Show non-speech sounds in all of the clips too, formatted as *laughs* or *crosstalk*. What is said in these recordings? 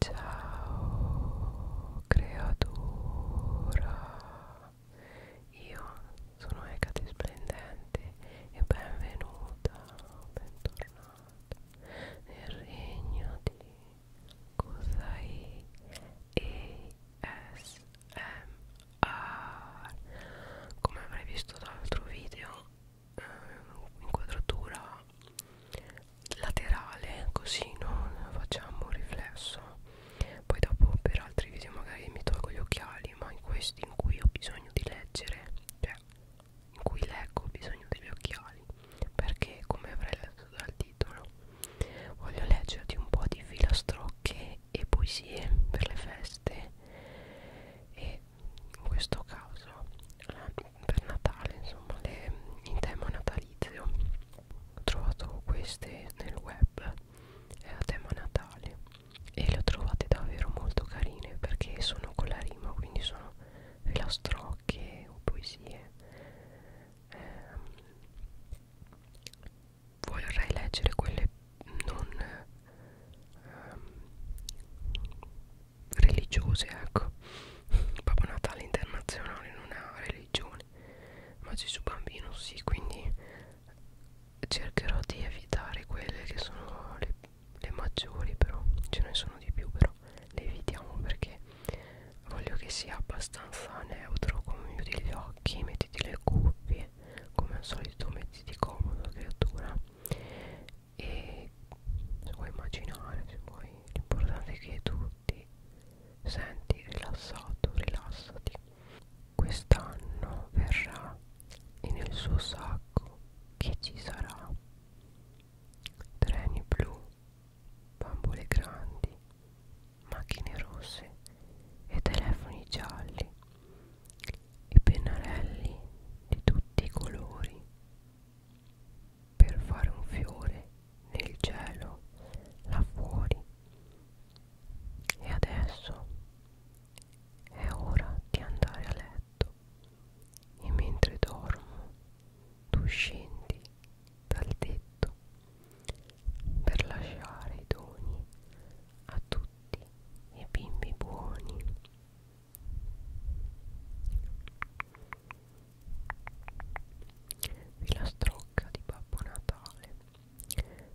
Ciao creatura, io sono Ecate Splendente e benvenuta, bentornata nel regno di Kusai ASMR. Come avrai visto dall'altro video, eh, inquadratura laterale così non facciamo un riflesso poi dopo per altri video magari mi tolgo gli occhiali ma in questi in cui ho bisogno di leggere cioè in cui leggo ho bisogno degli occhiali perché come avrei letto dal titolo voglio leggerti un po' di filastrocche e poesie per le feste e in questo caso per Natale insomma le, in tema natalizio ho trovato queste nel web eh, a tema Natale e le ho trovate davvero molto carine perché sono con la rima quindi sono filastrocche o poesie eh, vorrei leggere quelle non eh, religiose ecco Babbo Natale internazionale non ha religione ma Gesù bambino sì quindi cercherò di evitare quelle che sono le, le maggiori però ce ne sono di più però le evitiamo perché voglio che sia abbastanza neutro come chiudi gli occhi mettiti le cuffie come al solito mettiti comodo creatura e se vuoi immaginare se vuoi l'importante è che tu ti senti rilassato rilassati quest'anno verrà e nel suo sacco che ci sarà treni blu bambole grandi macchine rosse e telefoni gialli e pennarelli di tutti i colori per fare un fiore nel cielo là fuori e adesso è ora di andare a letto e mentre dormo tu scendi dal tetto per lasciare i doni a tutti i bimbi buoni Filastrocca di Babbo Natale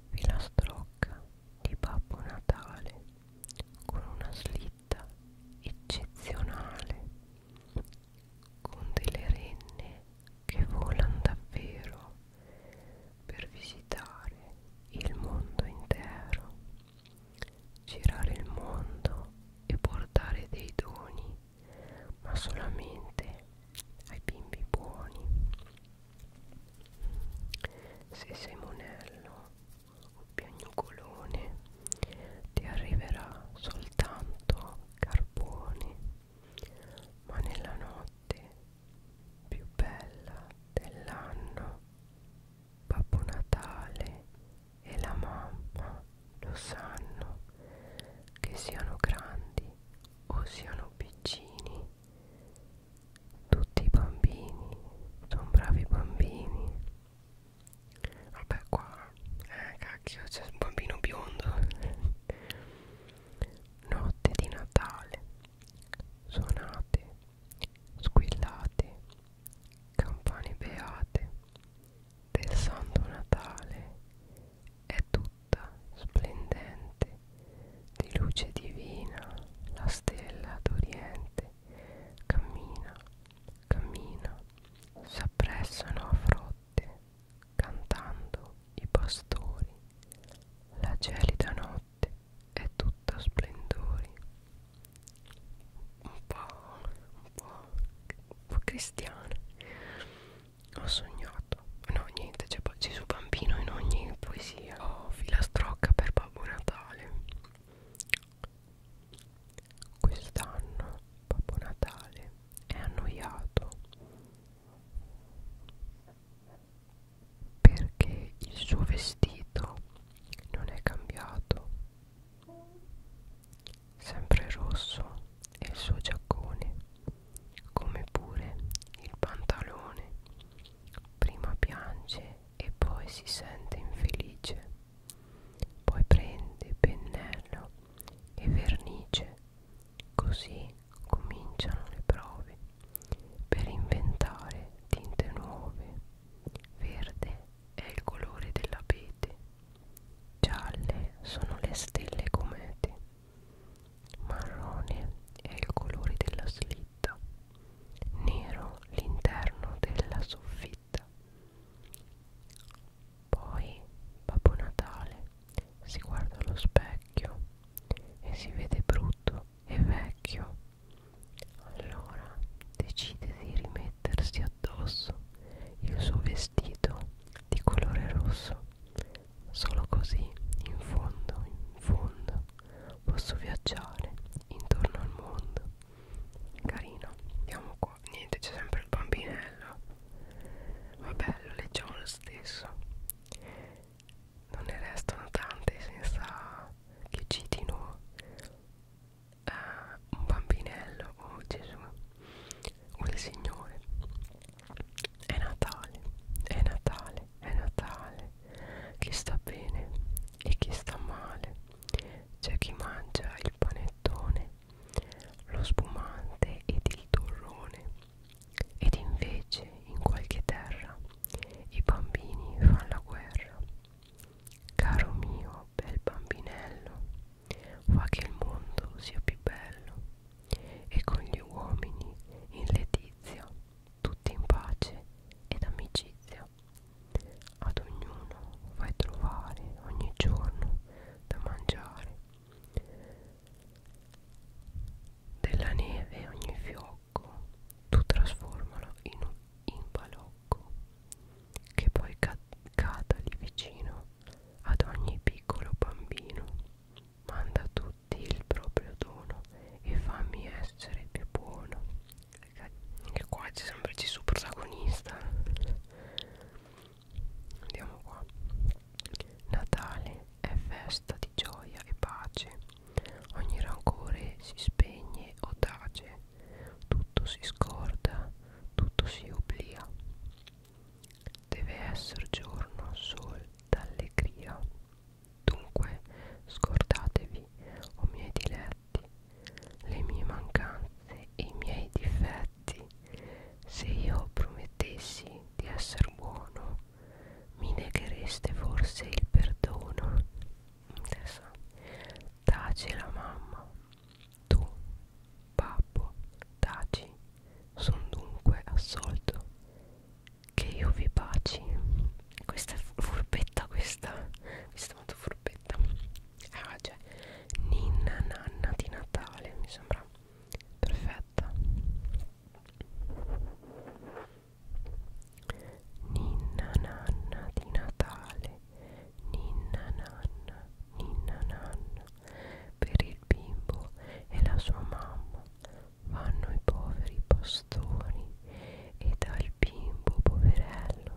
Filastrocca di Babbo Natale con una slitta eccezionale con delle renne che volano davvero per visitare il mondo intero girare il mondo e portare dei doni, ma solamente ai bimbi buoni. Se sei monello o piagnucolone, ti arriverà soltanto carbone, ma nella notte più bella dell'anno Babbo Natale e la mamma lo sanno, che siano grandi o siano piccini. Tutti i bambini sono bravi bambini. Vabbè qua, eh cacchio, c'è un bambino biondo. Notte di Natale, suonate, squillate, campane beate del Santo Natale è tutta splendente di luce divina, la stella d'Oriente cammina, cammina, s'appressano a frotte, cantando i pastori, la gelida notte è tutta splendori un po', un po', un po cristiana ho sognato no niente c'è Gesù Bambino in ogni poesia ho oh, filastrocca per Babbo Natale quest'anno Babbo Natale è annoiato perché il suo vestito non è cambiato sempre rosso è il suo giaccone come pure il pantalone prima piange e poi si sente infelice poi prende pennello e vernice così cominciano le prove per inventare tinte nuove verde è il colore dell'abete, gialle sono le stelle comete, marrone è il colore della slitta, nero l'interno della soffitta. Poi Babbo Natale si guarda allo specchio e si vede brutto e vecchio. Allora decide di rimediare mettersi addosso il suo vestito di colore rosso. Solo così, in fondo, in fondo, posso viaggiare intorno al mondo. Carino, andiamo qua. Niente, c'è sempre il bambinello. Ma bello, leggiamo lo stesso. Non ne restano tante senza che citino eh, un bambinello, oh Gesù, o il Signore. È Natale, è Natale, è Natale. Chi sta bene e chi sta male. C'è chi mangia il panettone, lo spumante ed il torrone. Ed invece in qualche terra i bambini fanno la guerra. Caro mio bel bambinello, fa che il mondo sia più bello e con gli uomini in letizia, tutti in pace ed amicizia. Ad ognuno fai trovare ogni giorno da mangiare. Della neve ogni fiocco tu trasformalo in un in balocco fuoco che poi ca cada lì vicino ad ogni piccolo bambino manda a tutti il proprio dono e fammi essere più buono anche qua c'è sempre Gesù protagonista andiamo qua Natale è festa di gioia e pace ogni rancore si spegne o tace tutto si scorda, tutto si oblia. Deve essere giorno sol d'allegria. Dunque scordatevi, o miei diletti, le mie mancanze e i miei difetti. Se io promettessi di essere buono, mi neghereste forse il perdono. Adesso tace la mamma tu, babbo, taci, son dunque assolto. Che io vi baci. Questa è furbetta, questa. Questa è molto furbetta. Ah, cioè, ninna nanna di Natale, mi sembra perfetta. Ninna nanna di Natale ninna nanna, ninna nanna, per il bimbo e la sua mamma vanno i poveri pastori e dal bimbo poverello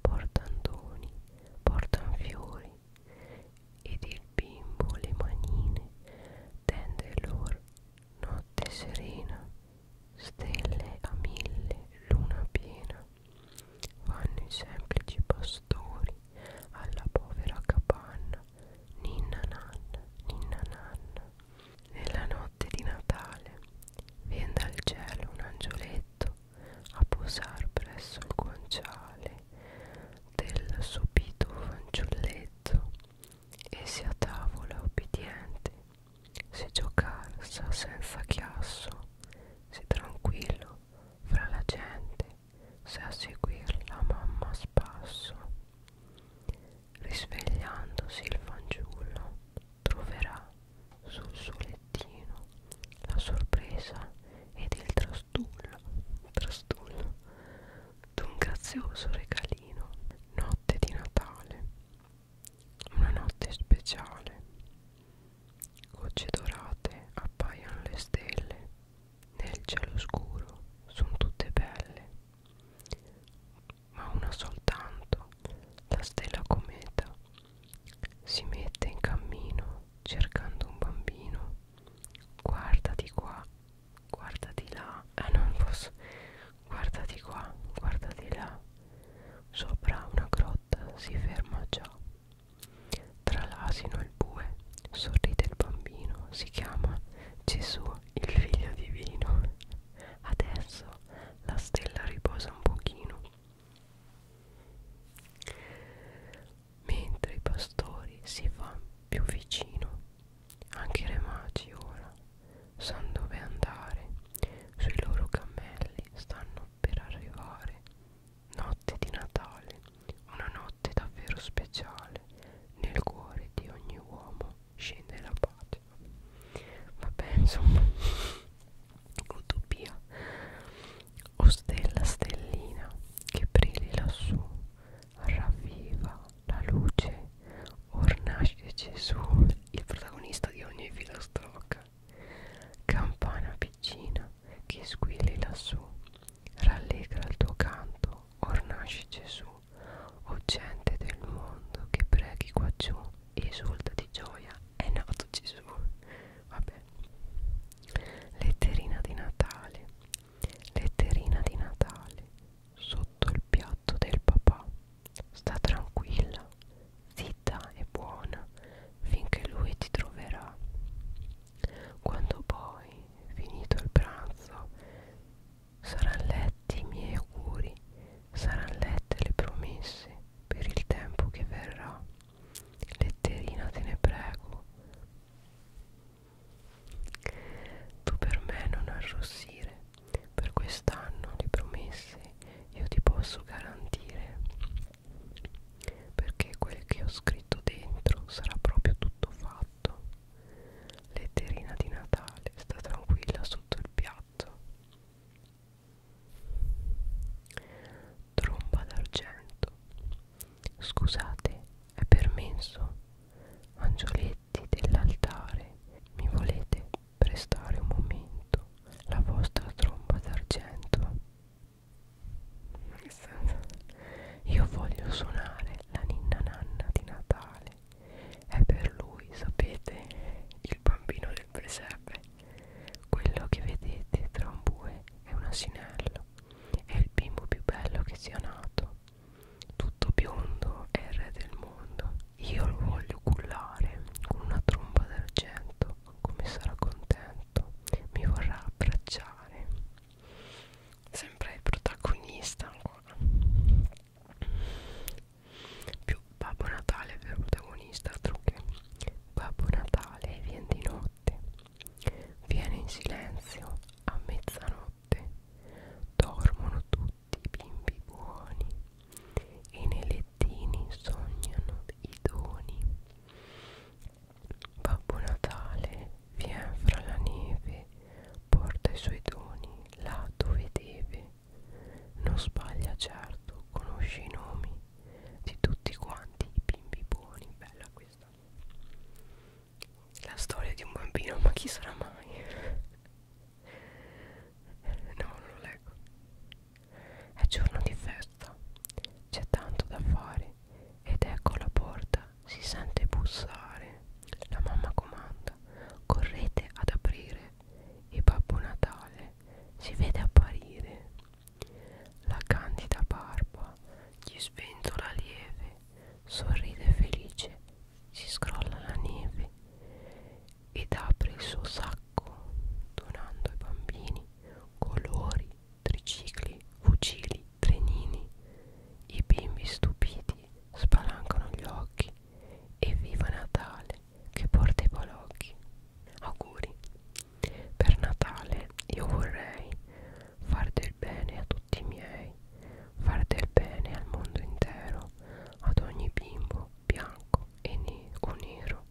portan doni, portan fiori ed il bimbo le manine tende lor notte serena, stelle a mille, luna piena Vanno i semplici pastori alla povera capanna, ninna nanna, ninna nanna. Nella notte di Natale viene dal cielo un angioletto a posar presso il guanciale del sopito fanciulletto e si a tavola obbediente, se giocar sa senza chiasso, se tranquillo fra la gente se a seguirla mamma a spasso risvegliandosi il fanciullo troverà sul suo lettino la sorpresa ed il trastullo trastullo d'un grazioso regalino notte di Natale una notte speciale Gocce dorate appaiono le stelle nel cielo scuro, sono tutte belle, ma una soltanto, la stella cometa, si mette in cammino cercando un bambino. Guarda di qua, guarda di là, ah eh, non posso, guarda di qua, guarda di là. Sopra una grotta si ferma già. Tra l'asino e il bue sorride il bambino, si chiama Gesù, il figlio divino. Adesso la stella riposa un pochino. Mentre i pastori si fa più vicino, anche i re magi ora sanno dove andare. Sui loro cammelli stanno per arrivare. Notte di Natale, una notte davvero speciale, nel cuore di ogni uomo scende la pace. Vabbè, insomma, *laughs* utopia. O stella stellina che brilla lassù, ravviva la luce, ornasce Gesù, il protagonista di ogni filastrocca. Campana piccina che squilli lassù, rallegra il tuo canto, or nasce Gesù, o gente del mondo che preghi qua giù, esulta di gioia, è nato Gesù. Vabbè. Letterina di Natale, letterina di Natale, sotto il piatto del papà, sta tranquilla, zitta e buona finché lui ti troverà. Quando poi, finito il pranzo, saranno letti i miei auguri, saranno lette le promesse per il tempo che verrà. Letterina te ne prego. Tu per me non arrossire, per quest'anno le promesse io ti posso garantire perché quel che ho scritto dentro sarà proprio tutto fatto. Letterina di Natale, sta tranquilla sotto il piatto. Tromba d'argento. Scusate, è permesso. Angioletti dell'altare, mi volete prestare un momento la vostra tromba d'argento? Io voglio suonare la ninna nanna di Natale. È per lui, sapete, il bambino del presepe. Quello che vedete tra un bue e un asinello. È il bimbo più bello che sia nato. Tutto biondo è il re del mondo. Io lo voglio cullare con una tromba d'argento come sarà contento mi vorrà abbracciare sempre il protagonista ancora più Babbo Natale è il protagonista altro che Babbo Natale viene di notte viene in silenzio a mezzanotte dormono tutti i bimbi buoni e nei lettini sognano i doni Babbo Natale vien fra la neve porta i suoi doni là dove deve non sbaglia certo conosce i nomi di tutti quanti i bimbi buoni bella questa la storia di un bambino ma chi sarà mai *laughs* no non lo leggo è giorno di festa, c'è tanto da fare ed ecco la porta, si sente bussare. La mamma comanda, correte ad aprire e Babbo Natale si vede apparire. La candida barba gli sventola lieve, sorride felice, si scrolla la neve ed apre il suo sacco donando ai bambini colori, tricicli, fucili, trenini. I bimbi stupiti spalancano gli occhi e viva Natale che porta i balocchi. Auguri. Per Natale io vorrei far del bene a tutti i miei, far del bene al mondo intero, ad ogni bimbo bianco e ne o nero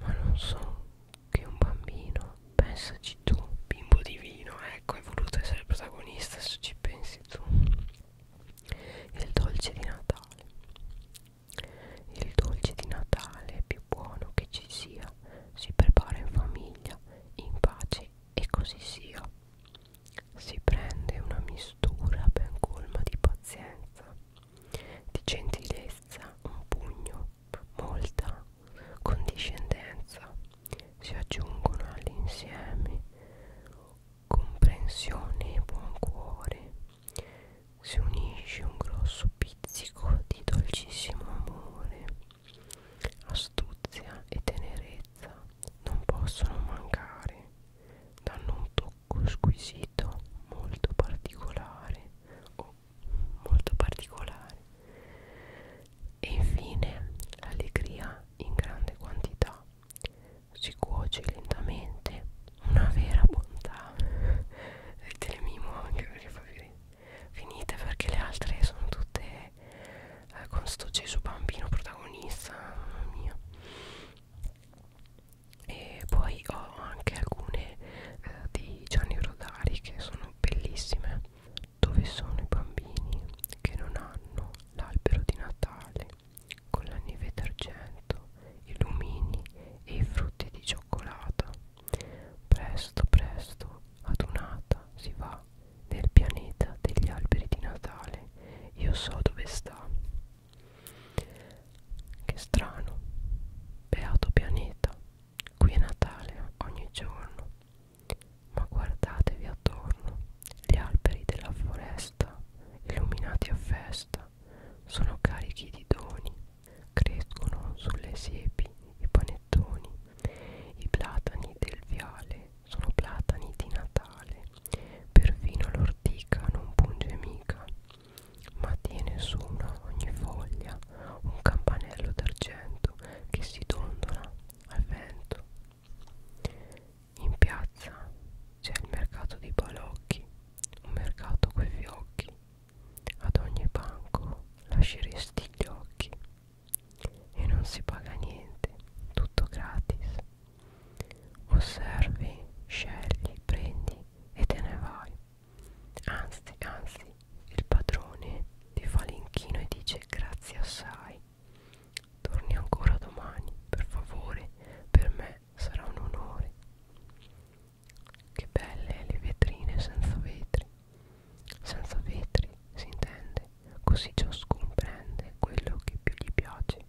ma non so che un bambino pensaci tu bimbo divino ecco hai voluto essere protagonista se ci pensi tu il dolce di Natale il dolce di Natale più buono che ci sia si prepara in famiglia in pace e così sia si prende una mistura ben colma di pazienza di gentilezza un pugno, molta condiscendenza si aggiungono all'insieme comprensione e buon cuore si unisce un grosso pizzico di dolcissimo amore astuzia e tenerezza non possono mancare danno un tocco squisito molto particolare o oh, molto particolare e infine l'allegria in grande quantità si cuoce lentamente una vera bontà e te le mimo anche perché fa finite perché le altre sono tutte eh, con sto Gesù bambino protagonista mamma mia e poi ho anche alcune eh, di Gianni Rodari che sono bellissime dove sono i bambini che non hanno l'albero di Natale con la neve d'argento i lumini e i frutti di cioccolata presto presto adunata si va nel pianeta degli alberi di Natale io so dove sta che strano, beato pianeta, qui è Natale ogni giorno, ma guardatevi attorno, gli alberi della foresta, illuminati a festa, sono carichi di doni, crescono sulle siepi i panettoni, i platani del viale sono platani di Natale, perfino l'ortica non punge mica, ma tiene su una ogni foglia un campanello d'argento che si dondola al vento. In piazza c'è il mercato dei balocchi, un mercato coi fiocchi, ad ogni banco lasceresti gli occhi e non si paga niente, tutto gratis osservi, scegli, prendi e te ne vai. Anzi, anzi, il padrone ti fa l'inchino e dice grazie assai. Torni ancora domani, per favore, per me sarà un onore. Che belle le vetrine senza vetri. Senza vetri si intende, così ciascuno prende quello che più gli piace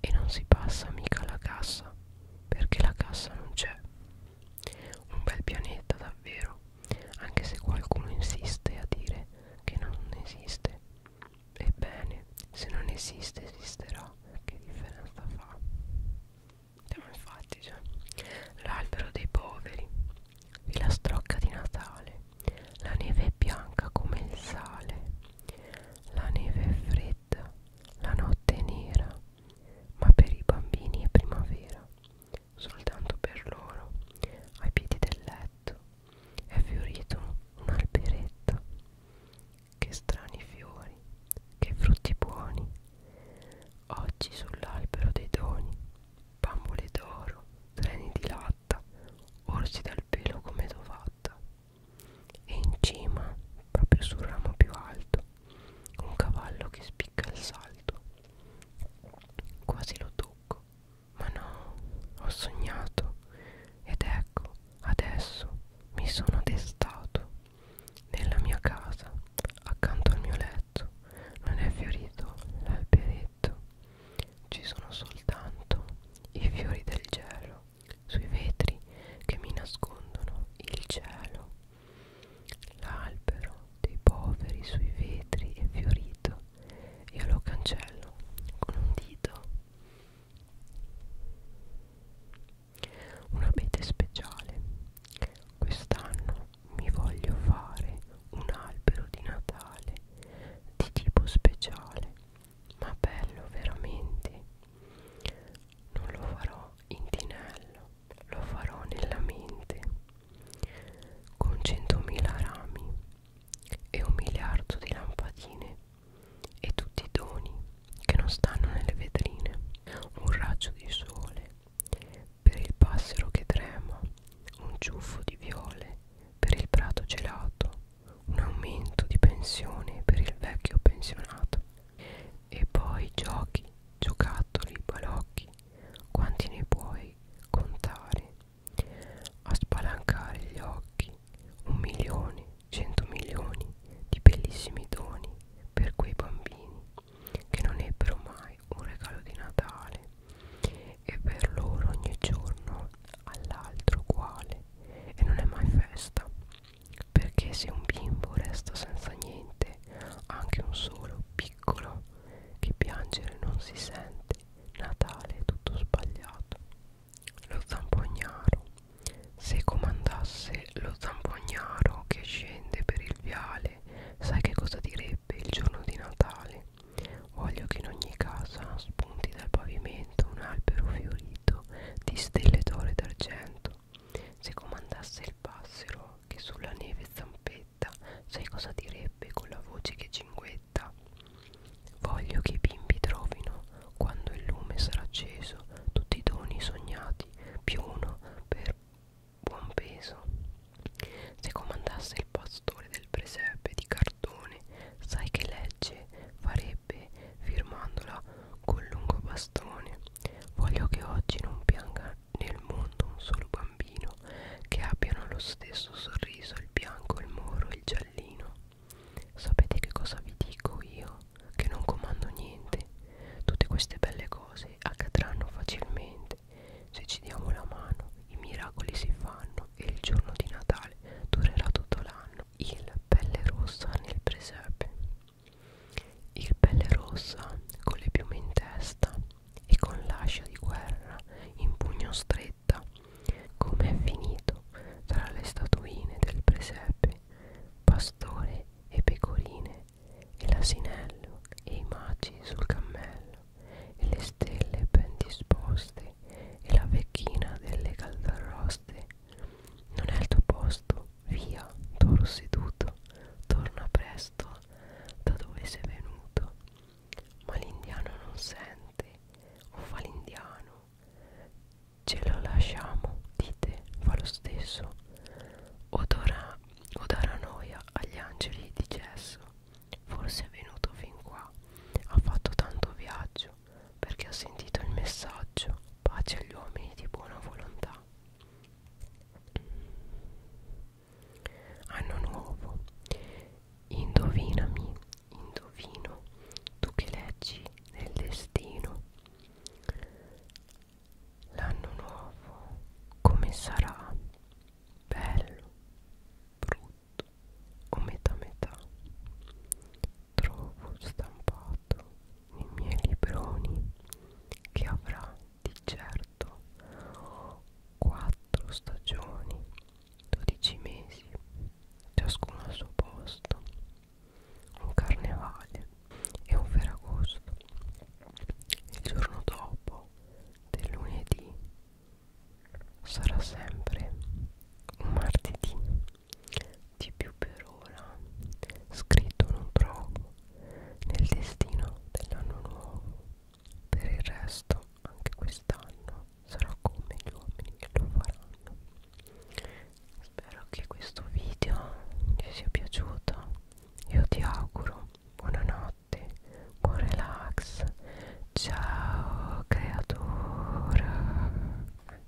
e non si passa mica alla cassa perché la cassa non c'è. Un bel pianeta davvero, anche se qualcuno insiste a dire che non esiste. Ebbene, se non esiste esisterà, che differenza fa? Siamo infatti già. Cioè, l'albero dei poveri, filastrocca di Natale, la neve è bianca come il sale, la neve è fredda la notte è nera, ma per i bambini è primavera, soltanto per loro, ai piedi del letto, è fiorito un alberetto. Che strani fiori, che frutti buoni, oggi sull'albero dei doni, bambole d'oro, treni di latta, orsi dal pelo come dovatta e in cima, proprio sul ramo più alto, un cavallo che spicca il salto. Quasi lo tocco, ma no, ho sognato ed ecco, adesso mi sono destato nella mia casa, accanto al mio letto, non è fiorito l'alberetto, ci sono soltanto i fiori del gelo sui vetri che mi nascondono il cielo l'albero dei poveri sui vetri è fiorito io lo cancello con un dito un abete speciale quest'anno mi voglio fare un albero di Natale di tipo speciale ma bello veramente non lo farò in tinello, lo farò nella mente, con centomila rami e un miliardo di lampadine e tutti i doni che non stanno nelle vetrine, un raggio di sole per il passero che trema, un ciuffo di viole per il prato gelato, un aumento di pensione per il vecchio pensionato e poi giochi, giocattoli, balocchi, quanti ne puoi contare? A spalancare gli occhi, un milione, cento milioni di bellissimi doni per quei bambini che non ebbero mai un regalo di Natale e per loro ogni giorno all'altro uguale e non è mai festa perché se un bimbo resta senza niente, anche un solo piccolo che piangere non si sente, Natale è tutto sbagliato. Lo zampognaro. Se comandasse lo zampognaro che scende per il viale, sai che cosa direbbe il giorno di Natale? Voglio che in ogni casa spunti dal pavimento un albero fiorito dito di stelle d'oro e d'argento se comandasse il passero che sulla neve zampetta sai cosa direbbe con la voce che cinguetta voglio che i bimbi trovino quando il lume sarà acceso tutti i doni sognati più uno per buon peso se comandasse il pastore del presepe di cartone sai che legge fare ebbe firmandola col lungo bastone voglio che oggi non pianga nel mondo un solo bambino che abbiano lo stesso sorriso il bianco, il moro, il giallino sapete che cosa vi dico io? che non comando niente tutte queste belle cose accadranno facilmente se ci diamo la mano i miracoli si fanno e il giorno di Natale durerà tutto l'anno il pelle rossa nel presepe il pelle rossa con le piume in testa e con l'ascia di guerra in pugno stretta come è finito tra le statuine del presepe pastore e pecorine e l'asinello e i maci sul cammello e le stelle ben disposte e la vecchina delle caldarroste non è il tuo posto, via, toro seduto, torna presto da dove sei venuto. Ma l'indiano non sente, o fa l'indiano. Ce lo lasciamo, dite, fa lo stesso. O, dora, o darà noia agli angeli di gesso. Forse è venuto fin qua, ha fatto tanto viaggio Dio perché ho sentito il messaggio pace agli uomini di buona volontà anno nuovo indovinami indovino tu che leggi nel destino l'anno nuovo come sarà bello brutto o metà metà trovo stampato nei miei libroni che avrà di certo 4 stagioni 12 mesi ciascuno al suo posto un carnevale e un ferragosto il giorno dopo del lunedì sarà sempre un martedì di più per ora scritto non trovo nel destino dell'anno nuovo per il resto anche quest'anno sarò come gli uomini che lo faranno spero che questo video vi sia piaciuto io ti auguro buonanotte buon relax ciao creatura